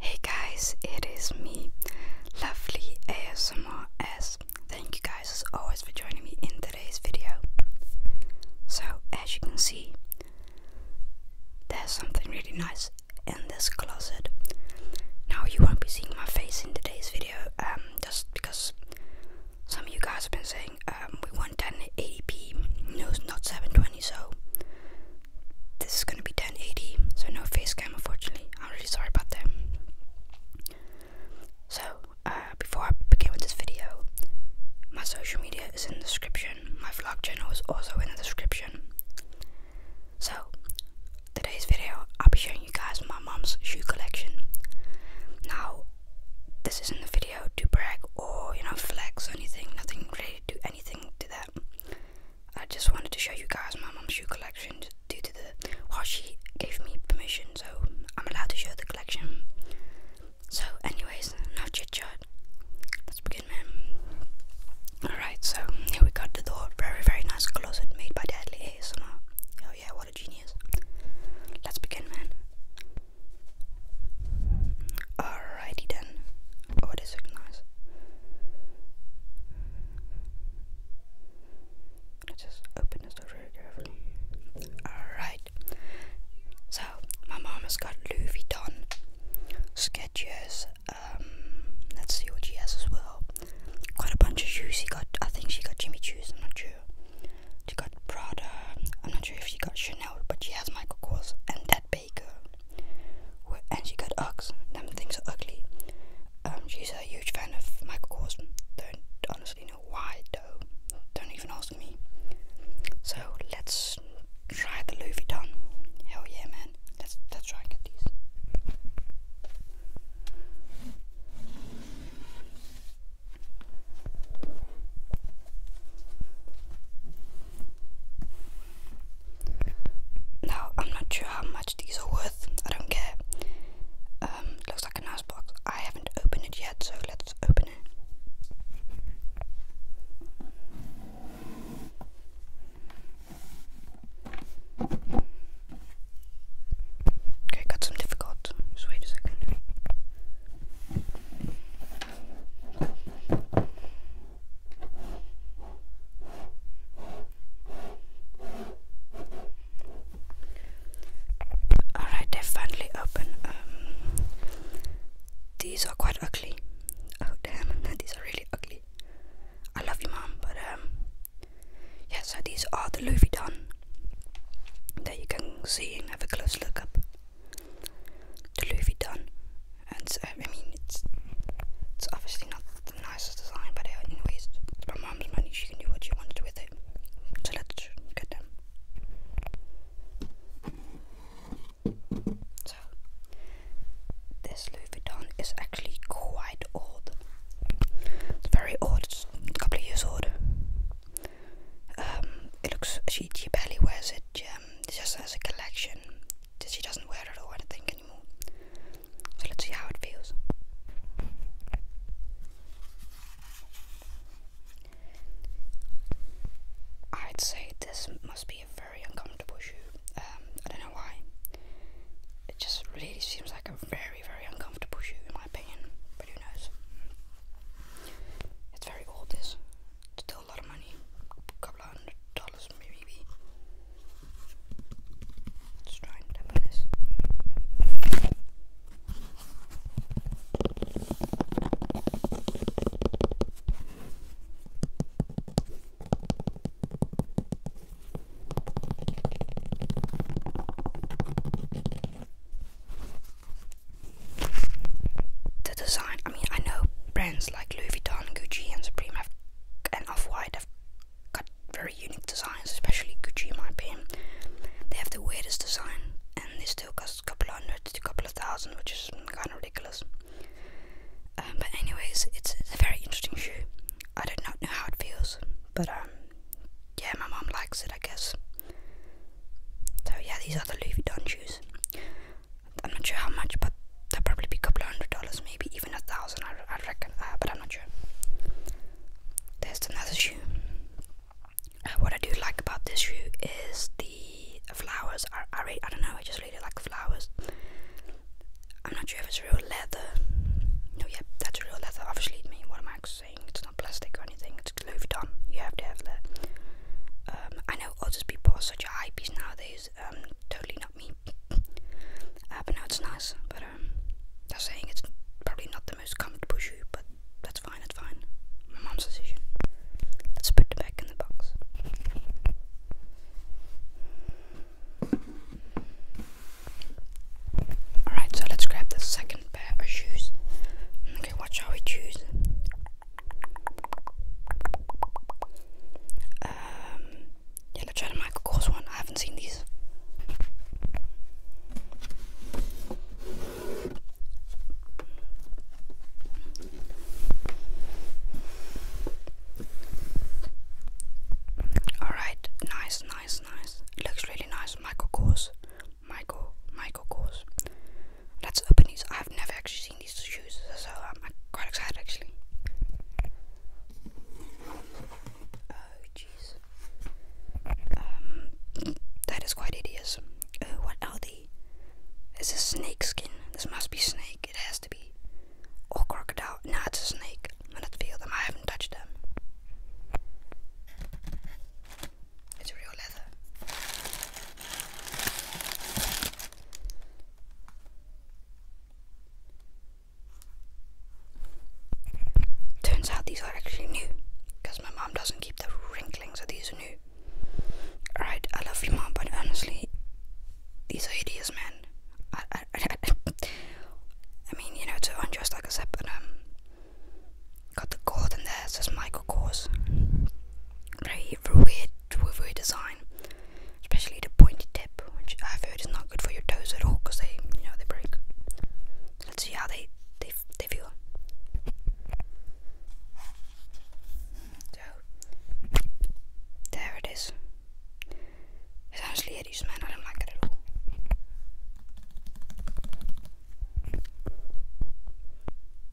Hey guys, it is me, lovely ASMR S. Thank you guys as always for joining me in today's video. So, as you can see, there's something really nice in this closet. Now, you won't be seeing my face in today's video, um, just because some of you guys have been saying um, we want 1080p, no, it's not 720, so this is gonna be 1080, so no face cam unfortunately. I'm really sorry about that. So, uh, before I begin with this video, my social media is in the description, my vlog channel is also in the description. So, today's video, I'll be showing you guys my mom's shoe collection. Now, this isn't a video to brag or, you know, flex or anything, nothing really do anything to that. I just wanted to show you guys my mom's shoe collection due to the well she gave me permission so I'm allowed to show the collection. So anyways, no chit chat. Let's begin man. Alright, so here we got the door. Very very nice closet made by Deadly ASMR. Oh yeah, what a genius. Let's begin man. Alrighty then. Oh, this looks nice. Let's just open this very carefully. Alright. So, my mom has got Louis Vuitton sketches. Um, let's she has as well. Quite a bunch of shoes. She got, I think she got Jimmy Choo's, I'm not sure. She got Prada. I'm not sure if she got Chanel, but she has Michael Kors, and that and she got ox. Them things are ugly. Um, she's a huge fan of Michael Kors. Don't honestly know why though. Don't even ask me. So let's try the Louis Vuitton. Hell yeah, man. Let's let's try and get these. Now, I'm not sure how much these are worth, I don't care. Um, looks like a nice box. I haven't opened it yet, so let's open it. Okay, got some difficult. Just wait a second. Alright, they finally open. Um, these are quite ugly. Oh damn, these are really ugly. I love you, mom, but um, yeah. So these are the Louis Don that you can see and have a close look up the Louis done, and I mean it's it's obviously not the nicest design, but uh, anyways, it's my mom's money. She can do what she wants with it. So let's get them. So this Louis Vuitton is actually quite old. It's very old. It's a couple of years old. Um, it looks she she barely wears it. Yeah, um, just as a collection. She doesn't wear it or anything anymore. So let's see how it feels. I'd say this must be a very uncomfortable shoe. Um, I don't know why. It just really seems like a very, very uncomfortable shoe in my opinion. But who knows? It's very old. This a lot of money. A couple of hundred dollars maybe. Let's try and tap this. The design, I mean, I know brands like Louis Vuitton, Gucci, and Supreme have, and Off have got very unique designs, especially Gucci, in my opinion. They have the weirdest design, and they still cost a couple hundred to a couple of thousand, which is kind of ridiculous. Um, but, anyways, it's, it's a very interesting shoe. I do not know how it feels, but um, yeah, my mom likes it, I guess. So yeah, these are the Louis Vuitton shoes. I'm not sure how much, but that'll probably be a couple hundred dollars, maybe even a thousand, I, I reckon, uh, but I'm not sure. There's another shoe. Uh, what I do like about this shoe is the flowers. I, I, really, I don't know, I just really like flowers. I'm not sure if it's real leather. No, yeah, that's real leather. Obviously, I mean, what am I saying? It's not plastic or anything just Louvre You have to have that. Um, I know other people are such a hypebeast nowadays. Um, totally not me. I uh, but no, it's nice. But um, they're saying it's probably not the most comfortable shoe, but that's fine. That's fine. My mom's decision. Let's put them back in the box. Alright, so let's grab the second pair of shoes. Okay, what shall we choose? Um, yeah, let's try one. I haven't seen these. Alright, nice, nice, nice. looks really nice. Michael Kors. Michael, Michael Kors. That's us open I've never actually seen these shoes, so I'm quite excited actually. Oh, jeez. Um, that is quite hideous. Oh, what are they? It's a snake skin. This must be snake. It has to be. Or crocodile. No, it's a snake. I do feel them. I haven't touched them. It's real leather. Turns out these are actually new my mom doesn't keep the wrinkling, so these are new. Alright, I love you, mom, but honestly, these are hideous, man. I, I, I, mean, you know, it's unjust, like I said, but um, Got the cord in there, says Michael Kors. Very weird, weird design, especially the pointed tip, which I've heard is not good for your toes at all because they, you know, they break. Let's see how they they they feel. So there it is. It's honestly hideous, man. I don't like it at all.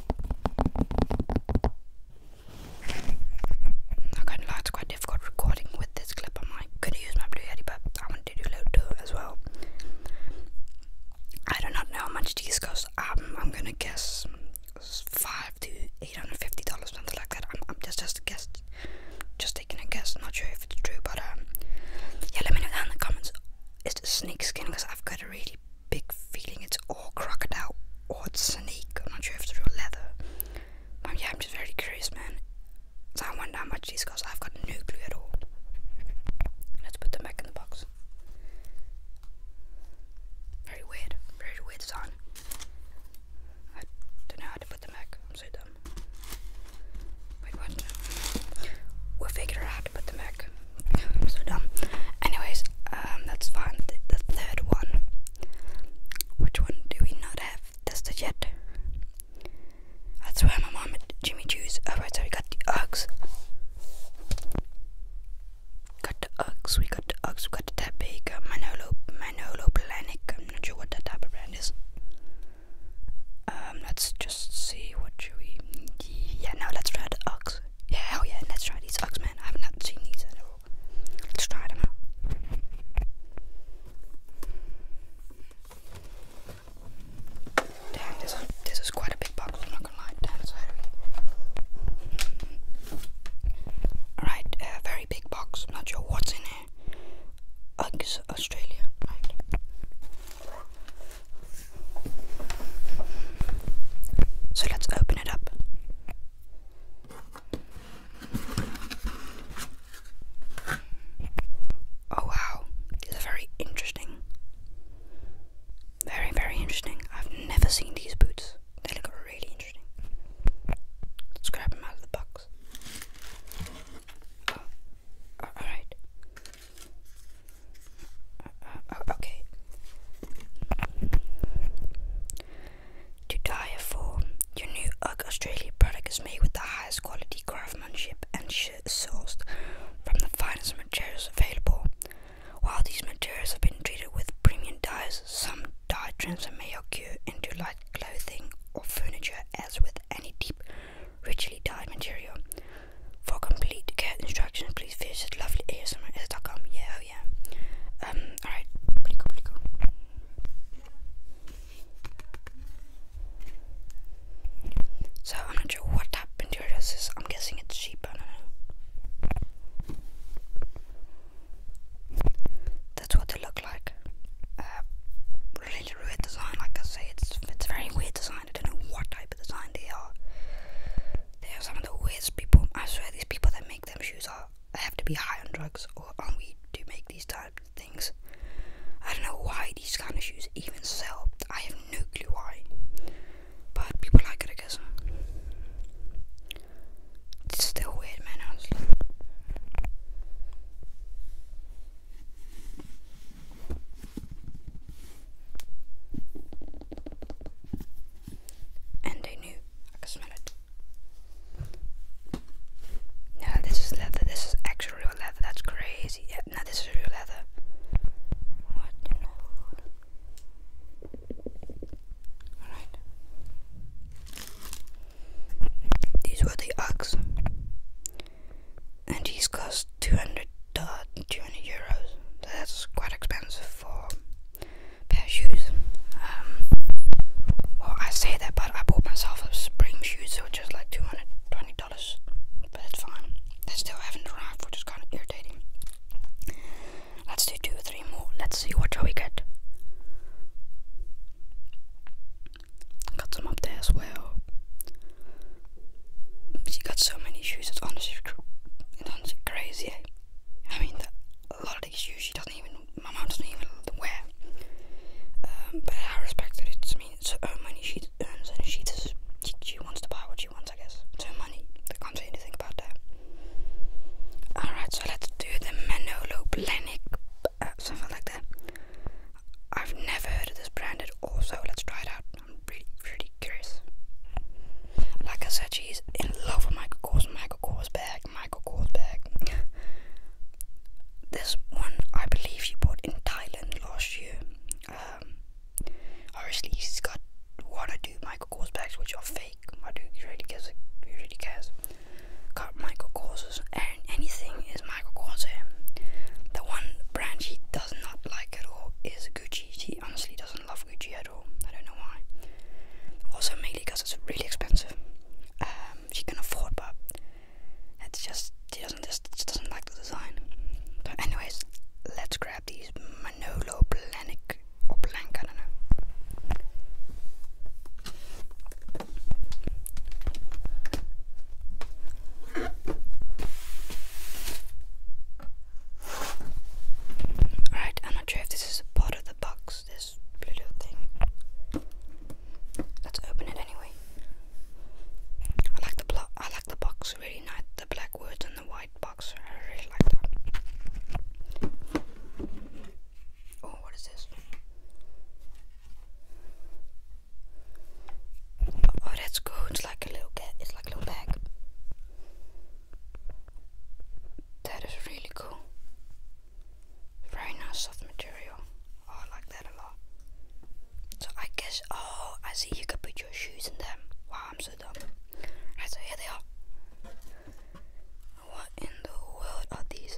I can't lie, it's quite difficult recording with this clip on my could use my blue yeti but I wanted to do low two as well. I do not know how much these cost. Um, I'm gonna guess five to eight hundred fifty dollars, something like that. I'm, I'm just just a guess, just taking a guess. Not sure if it's true, but um, yeah, let me know down in the comments. Is the snake skin? Because I've got a really big feeling. It's all crocodile or snake. I'm not sure if it's real leather. But yeah, I'm just very curious, man. So I wonder how much these cost. I've got no clue at all. Let's put them back in the box. Very weird. Very weird sign. I don't know how to put them back. I'm so dumb. Wait, what? we figure how to put them back so dumb. Anyways, um, let's the, third one. Which one do we not have tested yet? That's why my mom and Jimmy Choo's. Alright, oh, so we got the Uggs. Got the Uggs, we got the Uggs, we got the Tappig, uh, Manolo, Manolo I'm not sure what that type of brand is. Um, let's just see what we. Yeah, no, let's try the Uggs. Yeah, hell yeah, let's try these man. I have not seen these at all. Let's try them out. Damn, this is, this is quite a big box, I'm not gonna lie. Damn, it's heavy. Alright, very big box. not sure what's in here. Uggs Australia. Right. So let's open it up. Oh wow, these are very interesting. Very, very interesting. I've never seen these boots. They look really interesting. Let's grab them out of the box. Oh, Alright. Uh, oh, okay. To die for your new UGG Australia product is made with the highest quality craftsmanship and sourced from the finest materials available. While these materials have been treated with premium dyes, some dye transfer may occur into light clothing or furniture, as with any deep, richly dyed material. For complete care instructions, please visit lovelyasmr.com. Yeah, oh yeah. Um, alright. So, I'm not sure what type of material I'm guessing it's cheap, I don't know. That's what they look like. Uh, really weird design, like I say, it's it's very weird design. I don't know what type of design they are. They are some of the weirdest people. I swear these people that make them shoes are have to be high on drugs or on weed to make these type of things. I don't know why these kind of shoes even sell. I have no clue why. But people like it I guess. It's still weird man honestly. And I knew I could smell it. No, this is leather. This is actual real leather. That's crazy. Yeah, no, this is real leather. Alright. These were the Uggs. And these cost 200 200 euros. That's quite expensive for pair of shoes. Um, well, I say that, but I bought myself a spring shoes, so just like $220. But it's fine. They still haven't arrived, which is kind of irritating. Let's do two or three more. Let's see what shall we get. Got some up there as well she got so many issues. It's honestly, it's honestly crazy. Eh? I mean, a lot of these shoes she doesn't even, my mom doesn't even wear. Um, but I respect that it's, I mean, it's her money she earns and she just, she, wants to buy what she wants, I guess. It's her money. I can't say anything about that. Alright, so let's do the Manolo Blahnik, uh, something like that. I've never heard of this brand at all, let's try it out. I'm really, really curious. Like I said, she's in love with Michael Kors, Michael Kors bag, Michael Kors bag. this one, I believe she bought in Thailand last year. Honestly, um, he has got one or two Michael Kors bags which are fake. I do really guess it. really cares? Got Michael Kors's and anything is Michael Kors. The one brand she does not like at all is Gucci. She honestly doesn't love Gucci at all. I don't know why. Also, mainly because it's really expensive. Um, she can afford, but it's just she doesn't just, doesn't like the design. anyways, let's grab these Manolo Blahnik or Blank. I don't know. Right, I'm not sure if this is part of the box, this blue little thing. Let's open it anyway. I like the block I like the box really nice. The black words and the white box. I really like that. Oh, what is this? Oh, that's cool. It's like a little cat. It's like a little bag. That is really cool. Very nice soft material. Oh, I like that a lot. So I guess, oh, I see you could put your shoes in them. Wow, I'm so dumb. Right, so here they are. What in the world are these?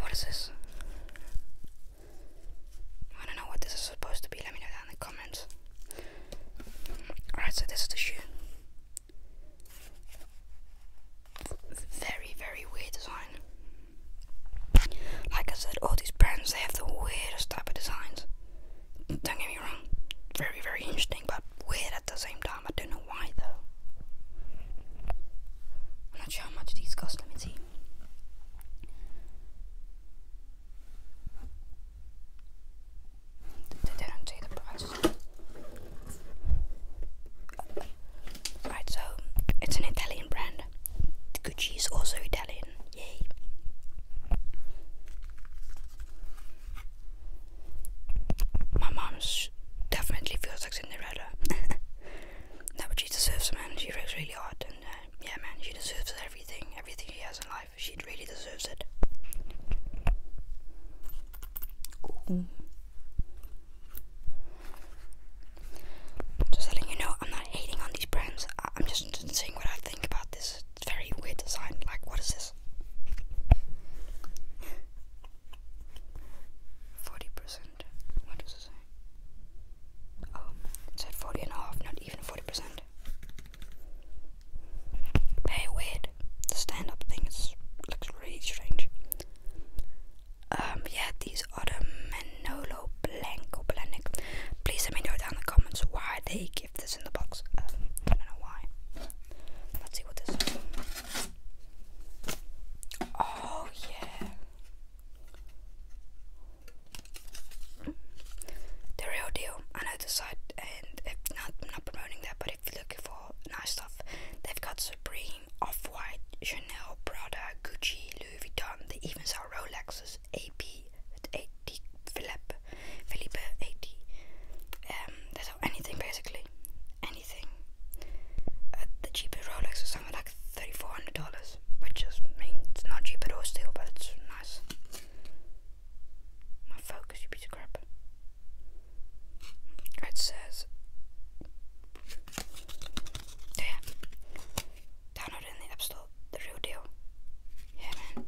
What is this? I don't know what this is supposed to be, let me know down in the comments. Alright, so this is the shoe. Very, very weird design. Like I said, all these brands, they have the weirdest type of designs. Don't get me wrong, very, very interesting, but weird at the same time. I don't know why though. I'm not sure how much these cost, let me see. They didn't say the price. Right, so it's an Italian brand. Gucci is also Italian. Yay. My mom's definitely feels like Cinderella. no, but she deserves a man. She works really hard and uh, yeah, man, she deserves everything, everything she has in life. She really deserves it. Just letting you know, I'm not hating on these brands. I am just saying what I think about this. very weird design. Like, what is this? Forty percent. What does it say? Oh, um, it said 40 not even 40%. Hey, weird. The stand up thing looks really strange. Um, yeah, these are the Blanco Blanic. Please let me know down in the comments why they give this in the box. Um, I don't know why. Let's see what this Oh, yeah the real deal I know the site, and if not not promoting that but if you're looking for nice stuff they've got Supreme, Off-White, Chanel, Prada, Gucci, Louis Vuitton, they even sell Rolexes, AP, 80, Philippe, Philippe 80 um, they sell anything basically, anything uh, the cheapest Rolex is something like $3,400, which is, I not cheap at all still, but it's nice. My focus, you piece of crap. It says, yeah, download it in the App Store, the real deal. Yeah, man.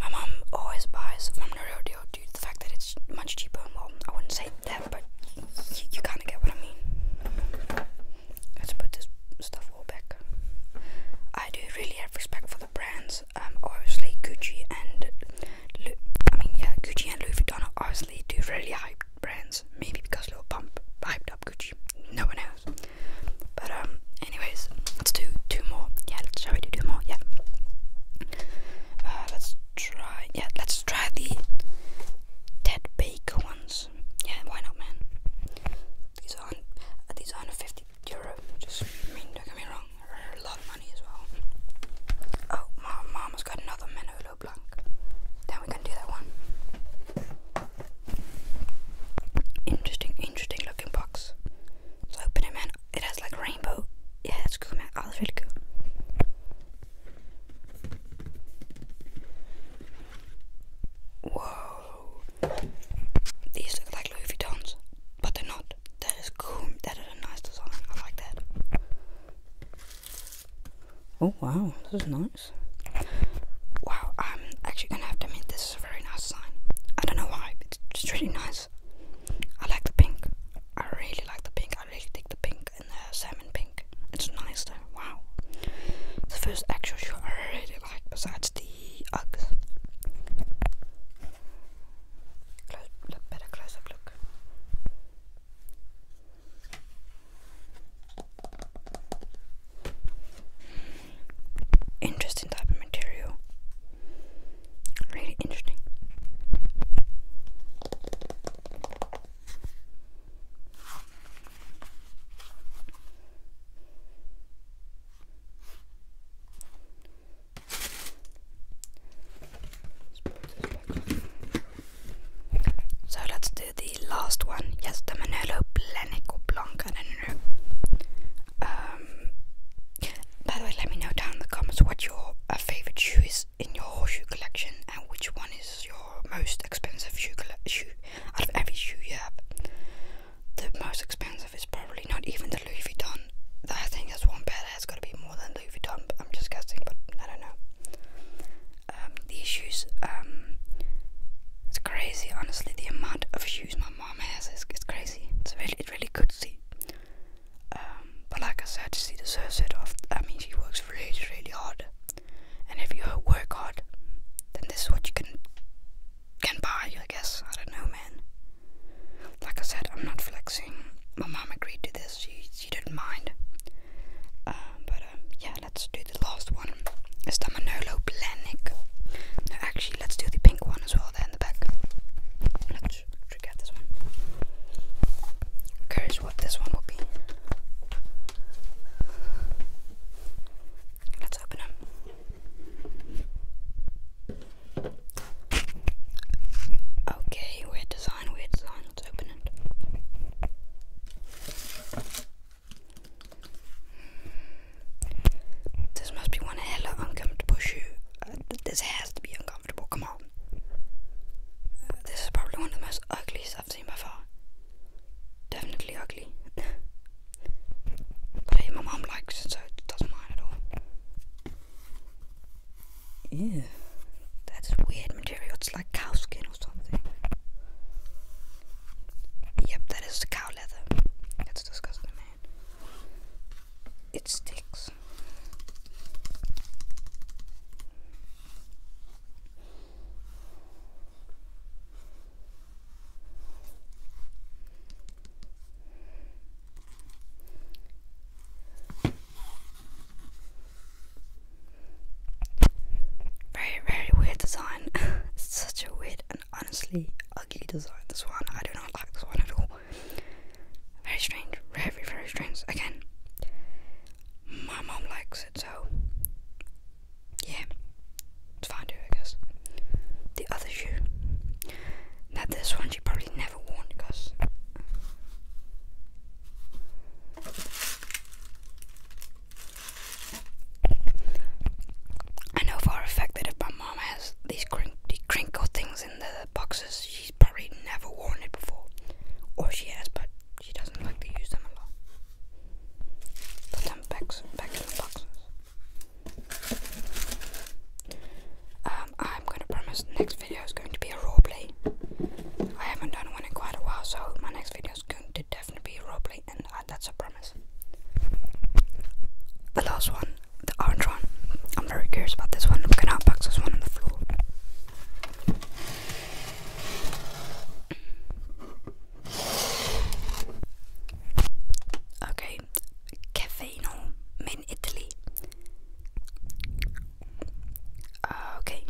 My mum always buys from the real deal due the fact that it's much cheaper. Well, I wouldn't say that but you, kind of get what I mean. Let's put this stuff all back. I do really have respect for the brands. Um, obviously Gucci and Lu I mean, yeah, Gucci and Louis Vuitton are obviously do really hyped brands. Maybe because Lil Pump hyped up Gucci. No one knows. But um, anyways, let's do two more. Yeah, let's shall we do two more? Yeah. Uh, let's try. Yeah, let's try the Ted Baker ones. Yeah, why not, man? These are uh, these are 150 euro. Just mean, don't get me wrong, a lot of money as well. Oh, my mama's got another Manolo Blanc. Then we can do that one. Interesting, interesting looking box. Let's open it, man. It has like rainbow. Yeah, that's cool, man. Oh, that's really cool. Whoa. These look like Louis but they're not. That is cool. That is a nice design. I like that. Oh wow, this is nice. Wow, I'm actually gonna have to admit this is a very nice design. I don't know why, but it's really nice. I like the pink. I really like the pink. I really dig the pink and the salmon pink. It's nice though, wow. The first actual shoe I really like besides the Uggs. look better close look. Interesting type of material. Really interesting. So let's do the last one. Yes, the Manolo Blahnik or Blanc. I don't know. Um, by the way, let me know down in the comments what your uh, favorite shoe in your shoe collection and which one is your most expensive shoe, out of every shoe you have. The most expensive is probably not even the Louis Vuitton. I think that's one pair that's got to be more than Louis Vuitton, but I'm just guessing, but I don't know. Um, these shoes, um, it's crazy, honestly, the amount of shoes my mom has is, is crazy. It's really, it's really good to see. Um, but like I said, she deserves it. That means she works really, really hard. And if you work hard, then this is what you can can buy. I guess I don't know, man. Like I said, I'm not flexing. My mom agreed to this. She she didn't mind. Uh, but um, yeah, let's do the last one. It's the Manolo Blahnik. No, actually, let's do the pink one as well. There in the back much. I this one. i what this one will be. Let's open them. Okay, weird design, weird design. Let's open it. This must be one hella uncomfortable shoe. Uh, this has to be uncomfortable. Come on. Uh, this is probably one of the most ugliest I've seen by far. Definitely ugly. but hey, my mom likes so it doesn't mind at all. Yeah, that's weird material. It's like cow skin or something. Yep, that is cow leather. That's disgusting, It sticks. Very, very weird design. Such a weird and honestly ugly design. This one, I do not like this one at all. Very strange, very, very strange. Again, my mom likes it, so yeah, it's fine too, I guess. The other shoe, That this one she probably never worn because. I know for a my mom has these crin things in the boxes, probably never worn it before. Or she has, but she doesn't like to use them a lot. Put them back, back in the boxes. Um, I'm gonna promise next video is going to be a roleplay. I haven't done one in quite a while, so my next video is going to definitely be a roleplay, and uh, that's a promise. The last one, the orange one. I'm very curious about this one. I'm gonna unbox this one on the floor. in Italy. okay,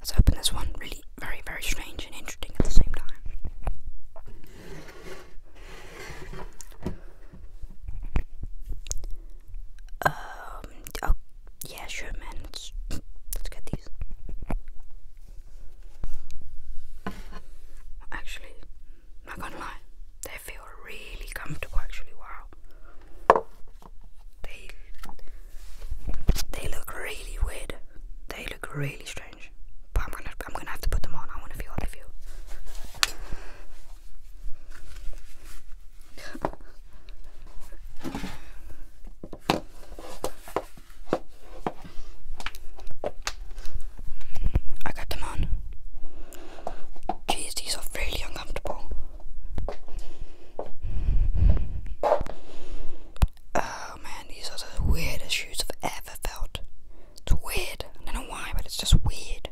let's open this one. Really, very, very strange and interesting at the same time oh, yeah, sure, man. Let's, get these. Actually, not gonna lie, they feel really comfortable. Actually, wow. They they look really weird. They look really strange. But I'm gonna I'm gonna have to put them on. I wanna feel how they feel. I got them on. Jeez, these are really uncomfortable. Oh man, these are the weirdest shoes I've ever felt. It's weird. I don't know why, but it's just weird.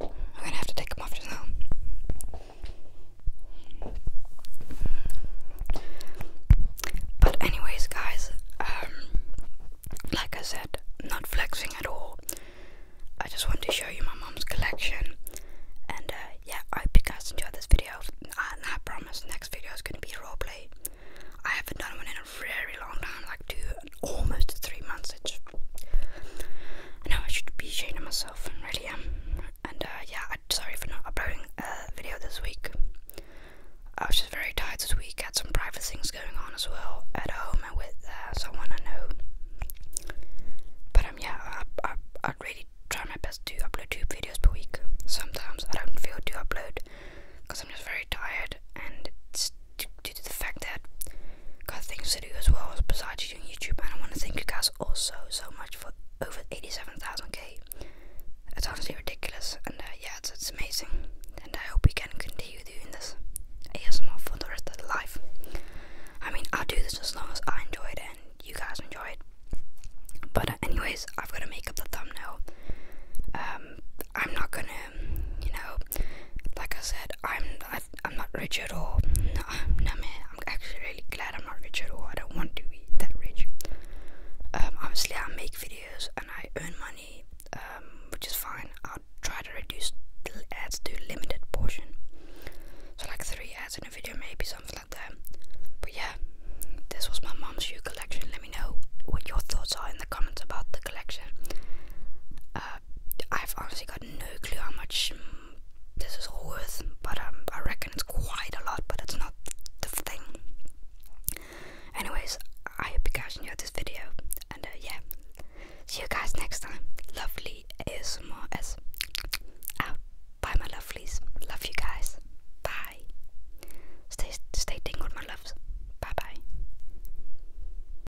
I'm gonna have to take them off just now. But anyways, guys, um, like I said, not flexing at all. I just want to show you my mom's collection. And uh, yeah, I hope you guys enjoyed this video. And I promise next video is gonna be roleplay. I haven't done one in a very long time, like two almost three months. I know I should be ashamed of myself, and really am. Um, and uh, yeah, I'm sorry for not uploading a video this week. I was just very tired this week. Had some private things going on as well at home and with uh, someone I know. But um, yeah, I, I I really try my best to upload two videos per week. Sometimes I don't feel to upload because I'm just very tired and it's due to the fact that I got things to do as well as besides doing YouTube. And I want to thank you guys also so much for over 87,000k. It's honestly ridiculous. And uh, yeah, it's, it's amazing. And I hope we can continue doing this ASMR for the rest of life. I mean, I'll do this as long as I enjoy it and you guys enjoy it. But uh, anyways, I've got to make up the thumbnail. Um, I'm not gonna, you know, like I said, I'm I I'm not rich at all. No, no man. I'm actually really glad I'm not rich at all. I don't want to be that rich. Um, obviously, I make videos and I earn money, um, which is fine. I'll try to reduce the ads to a limited portion, so like three ads in a video, maybe something like that. But yeah, this was my mom's shoe collection. Let me know what your thoughts are in the comments about the collection. Uh, I've honestly got no clue how much mm, this is all worth, but um, I reckon it's quite a lot, but it's not the thing. Anyways, I hope you guys enjoyed this video, and uh, yeah, see you guys next time. Lovely ASMR as out. Bye, my lovelies. Love you guys. Bye. Stay, stay tingled, my loves. Bye, bye.